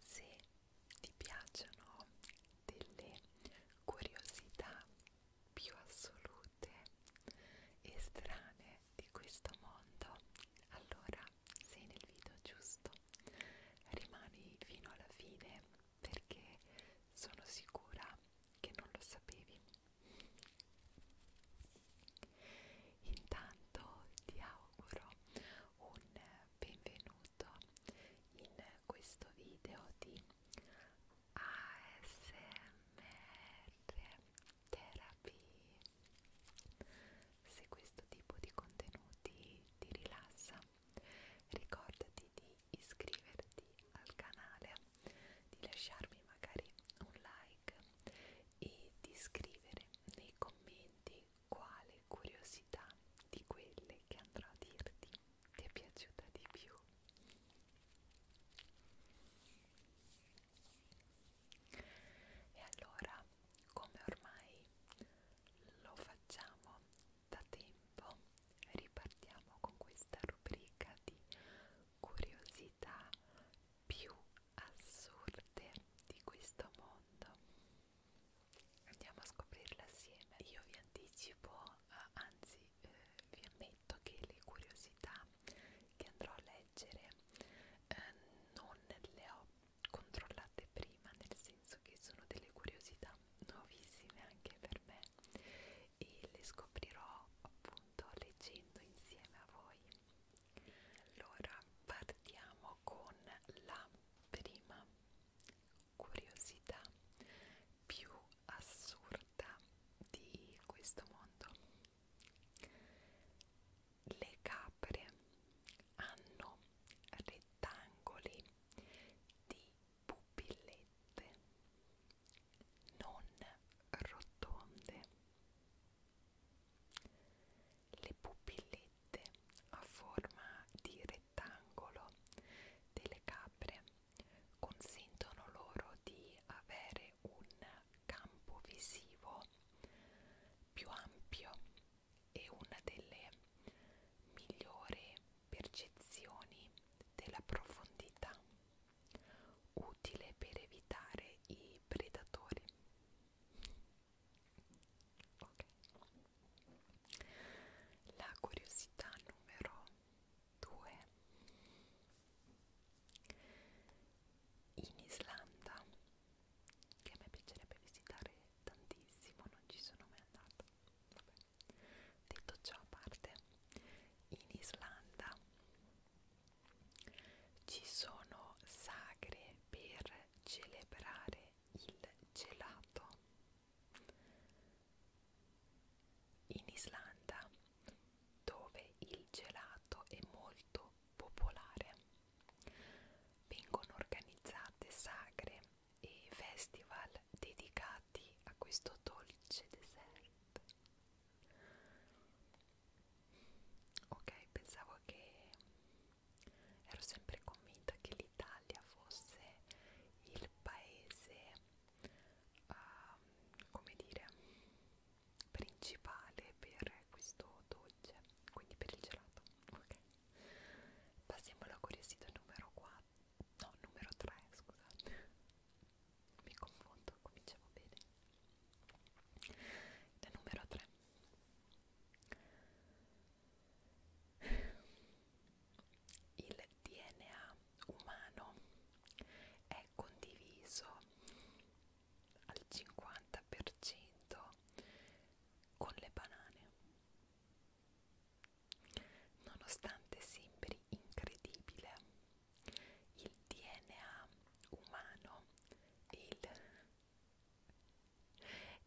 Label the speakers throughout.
Speaker 1: Se ti piacciono delle curiosità più assolute e strane di questo mondo, allora sei nel video giusto. Rimani fino alla fine perché sono sicura che non lo sapevi. Intanto ti auguro un benvenuto in questo video di ASMR Therapy. Se questo tipo di contenuti ti rilassa, ricordati di iscriverti al canale, di lasciarmi magari un like e di scrivere nei commenti quale curiosità di quelle che andrò a dirti ti è piaciuta di più? E allora, come ormai lo facciamo da tempo, ripartiamo con questa rubrica di curiosità più assurde di questo mondo andiamo a scoprirla assieme io vi anticipo eh, anzi eh, vi ammetto che le curiosità che andrò a leggere eh, non le ho controllate prima nel senso che sono delle curiosità nuovissime anche per me e le scoprirò appunto leggendo insieme a voi allora partiamo con la prima curiosità più assurda di questo mondo. Le capre hanno rettangoli di pupillette non rotonde. Le pupillette a forma di rettangolo rettangolo delle capre consentono loro di avere un campo visivo più ampio e una delle migliori percezioni della profondità utile per evitare i predatori ok la curiosità numero 2 in Islanda che a me piacerebbe visitare tantissimo non ci sono mai andata Vabbè. detto ciò a parte in Islanda ci sono sagre per celebrare il gelato. In Islanda, dove il gelato è molto popolare, vengono organizzate sagre e festival dedicati a questo dolce dessert. Ok, pensavo che ero sempre convinta che l'Italia fosse il paese uh, come dire principale per questo dolce quindi per il gelato ok passiamo alla curiosità numero 4 no numero 3 scusate mi confondo cominciamo bene la numero 3 il DNA umano è condiviso al 50% con le banane nonostante sembri incredibile il DNA umano e il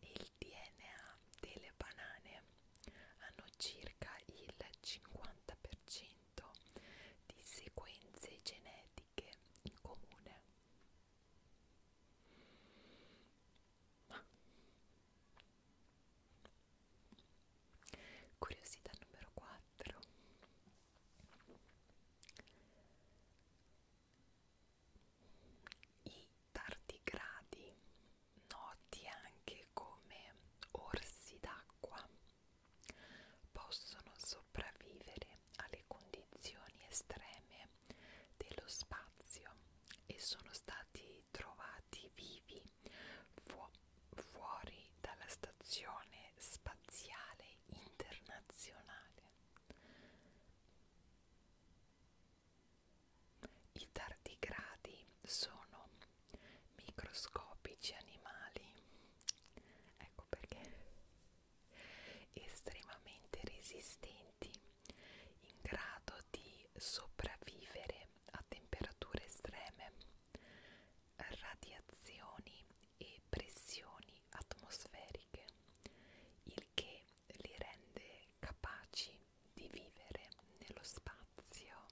Speaker 1: il DNA delle banane hanno circa il 50% di sequenze genetiche in comune. Curiosità numero 4. I tardigradi, noti anche come orsi d'acqua, possono sopravvivere alle condizioni estreme dello spazio e sono stati trovati vivi fu fuori dalla stazione spaziale internazionale. I tardigradi sono microscopici animali, ecco perché estremamente resistenti, in grado di sopravvivere a temperature estreme, radiazioni e pressioni atmosferiche, il che li rende essere capaci di vivere nello spazio.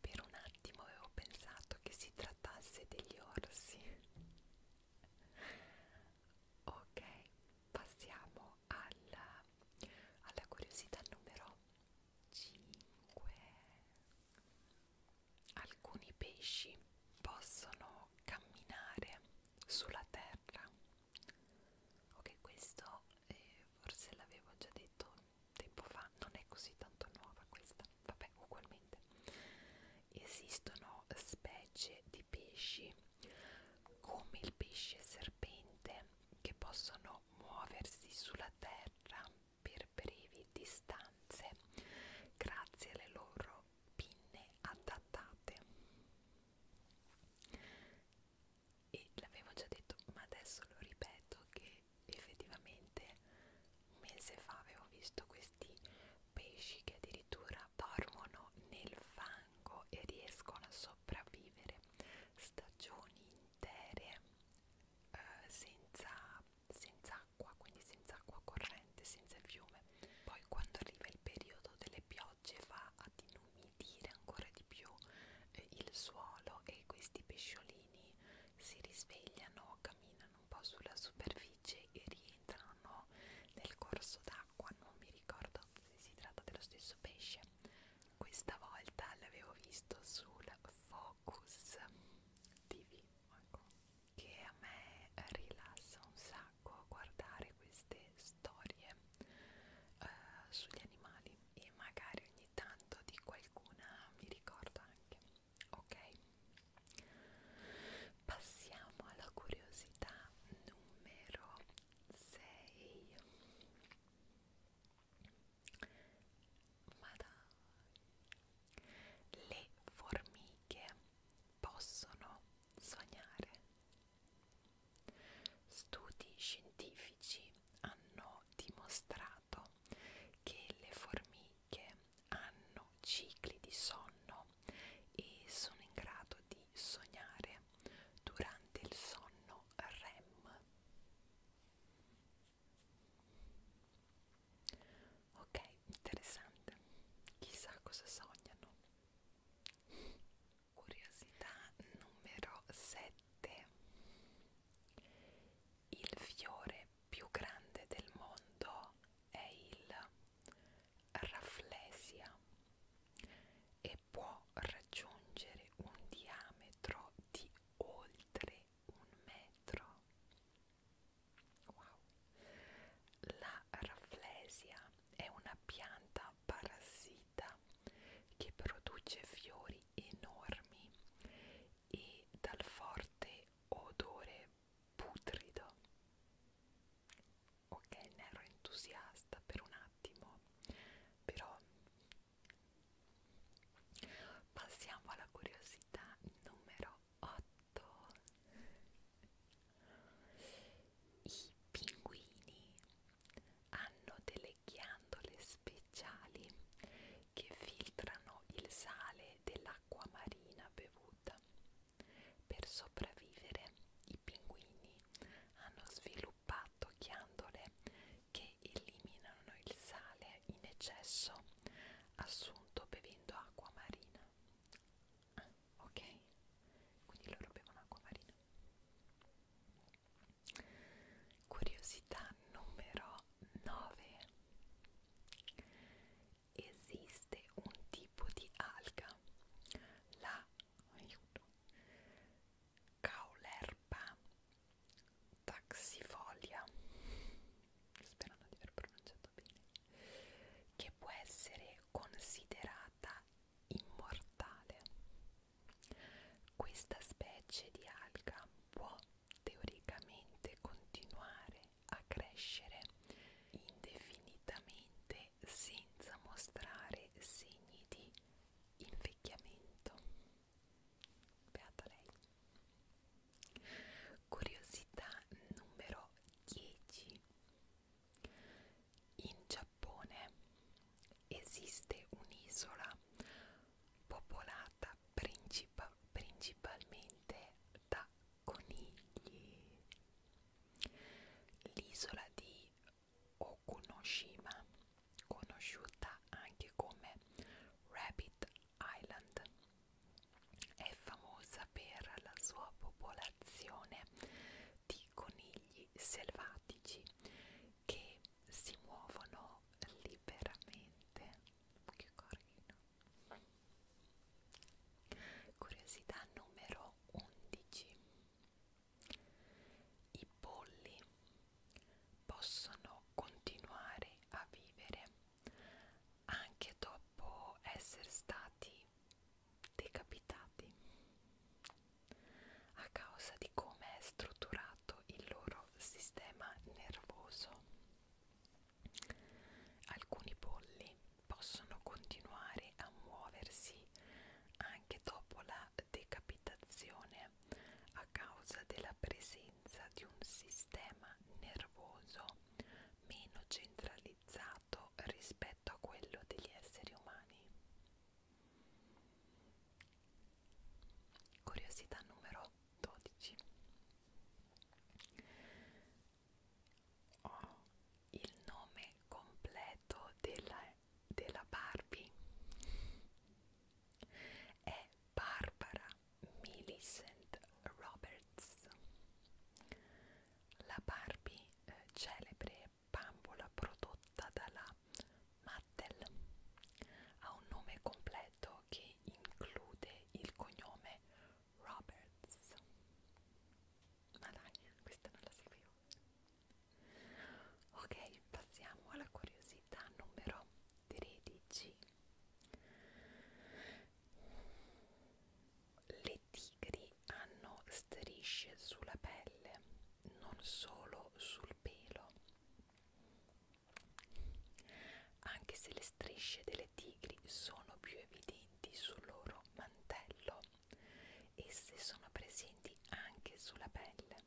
Speaker 1: Per un attimo avevo pensato che si trattasse degli orsi. ok, passiamo alla, alla curiosità numero 5. Alcuni pesci possono camminare sulla terra ok questo eh, forse l'avevo già detto tempo fa non è così tanto nuova questa vabbè ugualmente esistono specie di pesci come il pesce serpente che possono muoversi sulla terra per brevi distanze grazie alle loro pinne adattate e l'avevo già detto ma adesso lo ripeto che effettivamente un mese fa avevo visto questi pesci che addirittura dormono nel fango e riescono a sopravvivere stagioni intere eh, senza, senza acqua quindi senza acqua corrente senza il fiume poi quando arriva il periodo delle piogge va infatti non mi dire ancora di più eh, il suolo e questi pesciolini si risvegliano, camminano un po' sulla superficie e rientrano nel corso d'acqua, non mi ricordo se si tratta dello stesso pesce. Questa volta l'avevo visto sul Focus TV, ecco, che a me rilassa un sacco sacco a guardare queste storie eh, sugli animali e magari ogni tanto di qualcuna mi ricordo anche ok passiamo alla curiosità numero 6 ma dai le formiche possono sognare. Studi scientifici hanno dimostrato che le formiche hanno cicli di sonno e sono in grado di sognare durante il sonno REM. Ok, interessante. Chissà cosa sognano. Curiosità numero 7. Il fiore più grande del mondo è il Rafflesia e può raggiungere un diametro di oltre un metro. Wow. La Rafflesia è una pianta parassita che produce fiori enormi e dal forte odore putrido. Ok, ne ero entusiasta per un attimo, però passiamo alla curiosità numero 8. I pinguini hanno delle ghiandole speciali che filtrano il sale dell'acqua marina bevuta. Per sopravvivere i pinguini hanno sviluppato ghiandole che eliminano il sale in eccesso assunto bevendo acqua marina. Ah, ok, quindi loro bevono acqua marina. Curiosità numero 9. Esiste un tipo di alga, la aiuto, caulerpa taxifolia, sperando di aver pronunciato bene, che può essere considerata immortale. Questa specie di alga può teoricamente continuare a crescere indefinitamente senza mostrare segni di invecchiamento. Beata lei. Curiosità numero 10. In Giappone esiste un'isola popolata princip principalmente da conigli. L'isola di Okunoshima, conosciuta anche come Rabbit Island, è famosa per la sua popolazione di conigli animali selvatici che si muovono liberamente. Che carino! Curiosità numero 11. I polli possono continuare a vivere anche dopo essere stati decapitati a causa di come è strutturato il loro sistema nervoso. Alcuni polli possono continuare a muoversi anche dopo la decapitazione a causa della presenza di un sistema nervoso meno centralizzato rispetto a quello degli esseri umani. Curiosità numero 12. Ho il nome completo della, della Barbie. È Barbara Millicent Roberts. La Barbie eh, celebre bambola prodotta dalla Mattel. Ha un nome completo che include il cognome Roberts. Ma dai, questa non la seguivo. Ok, passiamo alla curiosità numero 13. Le tigri hanno strisce sulla pelle non solo sul pelo. Anche se le strisce delle tigri sono più evidenti sul loro mantello, esse sono presenti anche sulla pelle,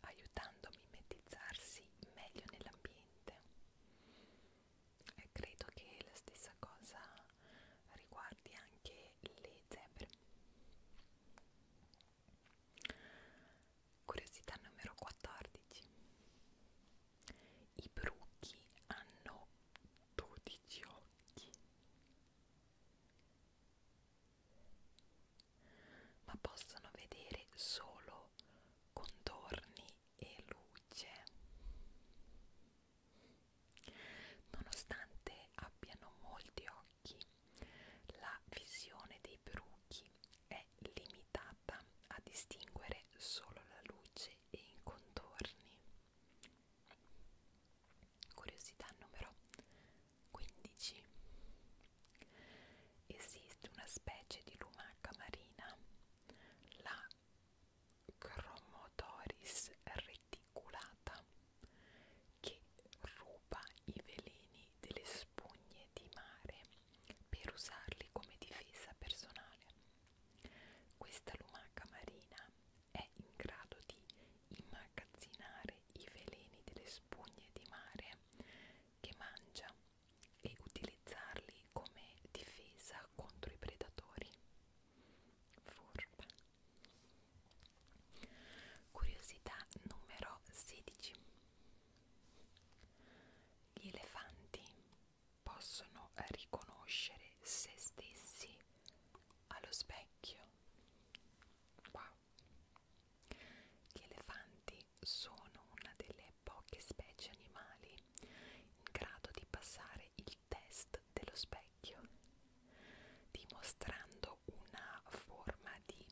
Speaker 1: aiutando a mimetizzarsi meglio nell'ambiente. E credo che la stessa cosa riguardi anche anche le zebre curiosità numero 14 i bruchi hanno 12 occhi ma possono vedere solo contorni e luce nonostante abbiano molti occhi occhi. La visione dei bruchi è limitata a distinguere solo la luce e i contorni. Curiosità numero 15. Esiste una specie di lumaca marina, la Chromodoris articolata che ruba i veleni delle spugne di mare per usarli come difesa personale. Questa lumaca marina è in grado di immagazzinare i veleni delle spugne di mare che mangia e utilizzarli come difesa contro i predatori. Furba. Curiosità numero 16. Gli elefanti possono riconoscere se stessi allo specchio. Wow. Gli elefanti sono una delle poche specie animali in grado di passare il test dello specchio specchio, dimostrando una forma di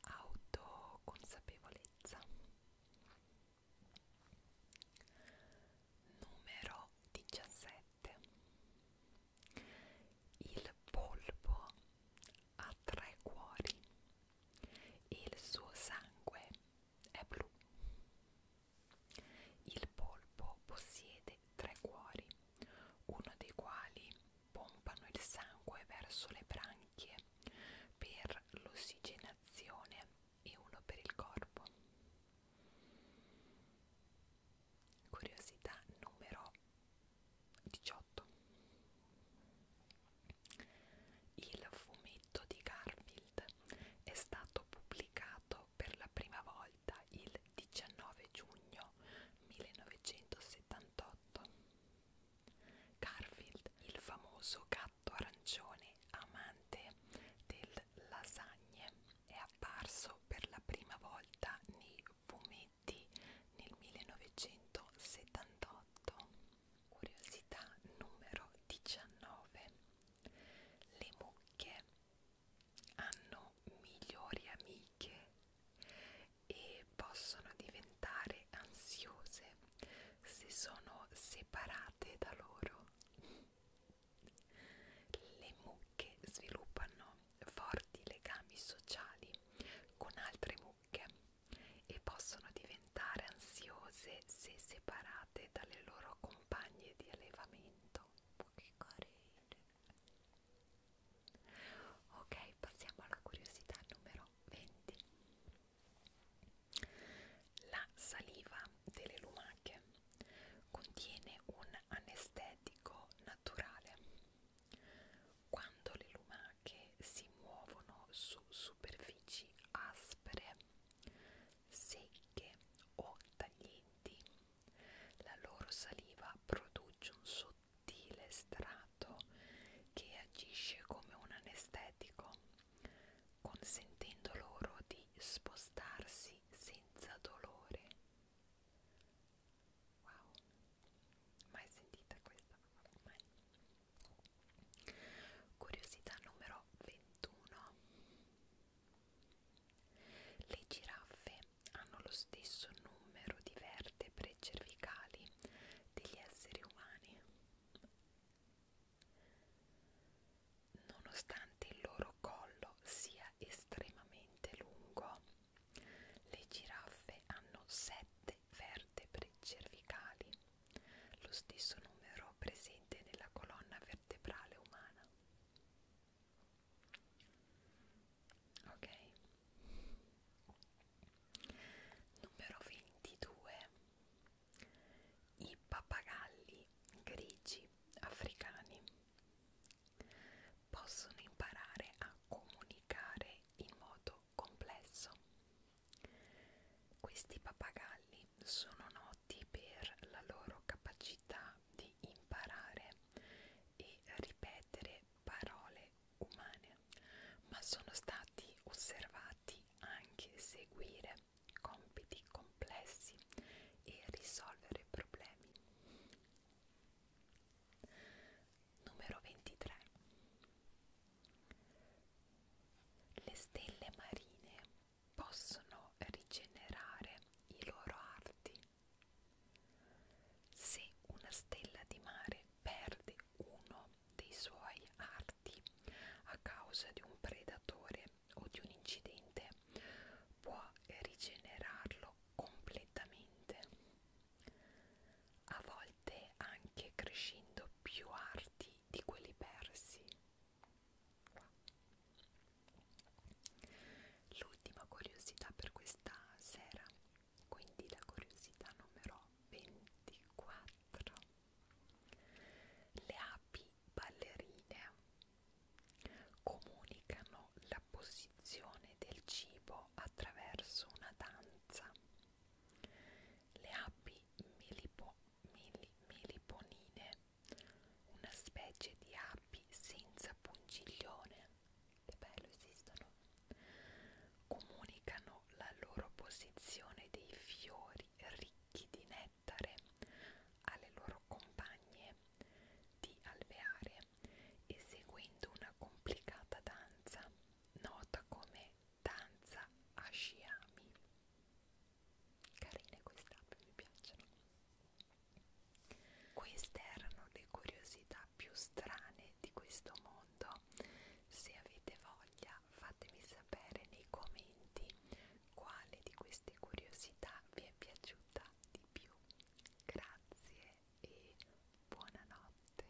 Speaker 1: autoconsapevolezza. Numero 17. Il polpo ha tre cuori e il suo sangue è blu. Il polpo possiede tre cuori uno dei quali pompano il sangue verso le branchie per l'ossigenazione e uno per il corpo. Curiosità numero 18. Il fumetto di Garfield è stato pubblicato per la prima volta il 19 giugno 1978. Garfield, il famoso gatto arancione amante del lasagne, è apparso per la prima volta nei fumetti nel 1978. Curiosità numero 19. Le mucche hanno migliori amiche e possono diventare ansiose se sono separate da loro. Le mucche sviluppano forti legami sociali con altre mucche e possono diventare ansiose se separate dalle loro compagne di allevamento. Che carine! Ok, passiamo alla curiosità numero 20. La saliva delle lumache contiene un anestetico naturale. Quando le lumache si muovono su superfici aspere, secche o taglienti, la loro saliva produce un sottile strato che agisce come un anestetico, consentendo loro di spostarsi senza dolore. Wow, mai sentita questa? Mai. Curiosità numero 21. Le giraffe hanno lo stesso numero di vertebre cervicali degli esseri umani. Nonostante il loro collo sia estremamente lungo, le giraffe hanno sette vertebre cervicali, lo stesso numero presente nella colonna vertebrale umana ok numero 22 i pappagalli grigi africani possono imparare a comunicare in modo complesso questi pappagalli sono noti per la loro capacità di imparare e ripetere parole umane, ma sono stati osservati anche seguire compiti complessi e risolvere problemi. Numero 23. Le stelle marine possono rigenerare i loro arti se una stella di mare perde uno dei suoi arti a causa di un predatore o di un incidente, può rigenerarlo completamente, a volte anche crescendo più arti di quelli persi. L'ultima curiosità per questa sera quindi la curiosità numero 24. Le api ballerine comunicano la posizione del cibo attraverso una danza. Le api milipo, mili, miliponine, una specie di api senza pungiglione che bello esistono, comunicano la loro posizione dei fiori ricchi di nettare alle loro compagne di alveare, eseguendo una complicata danza nota come danza asciami. Carine queste api, mi piacciono. Queste erano le curiosità più strane di questo mondo. Se avete voglia fatemi sapere nei commenti quale di queste curiosità vi è piaciuta di più. Grazie e buonanotte.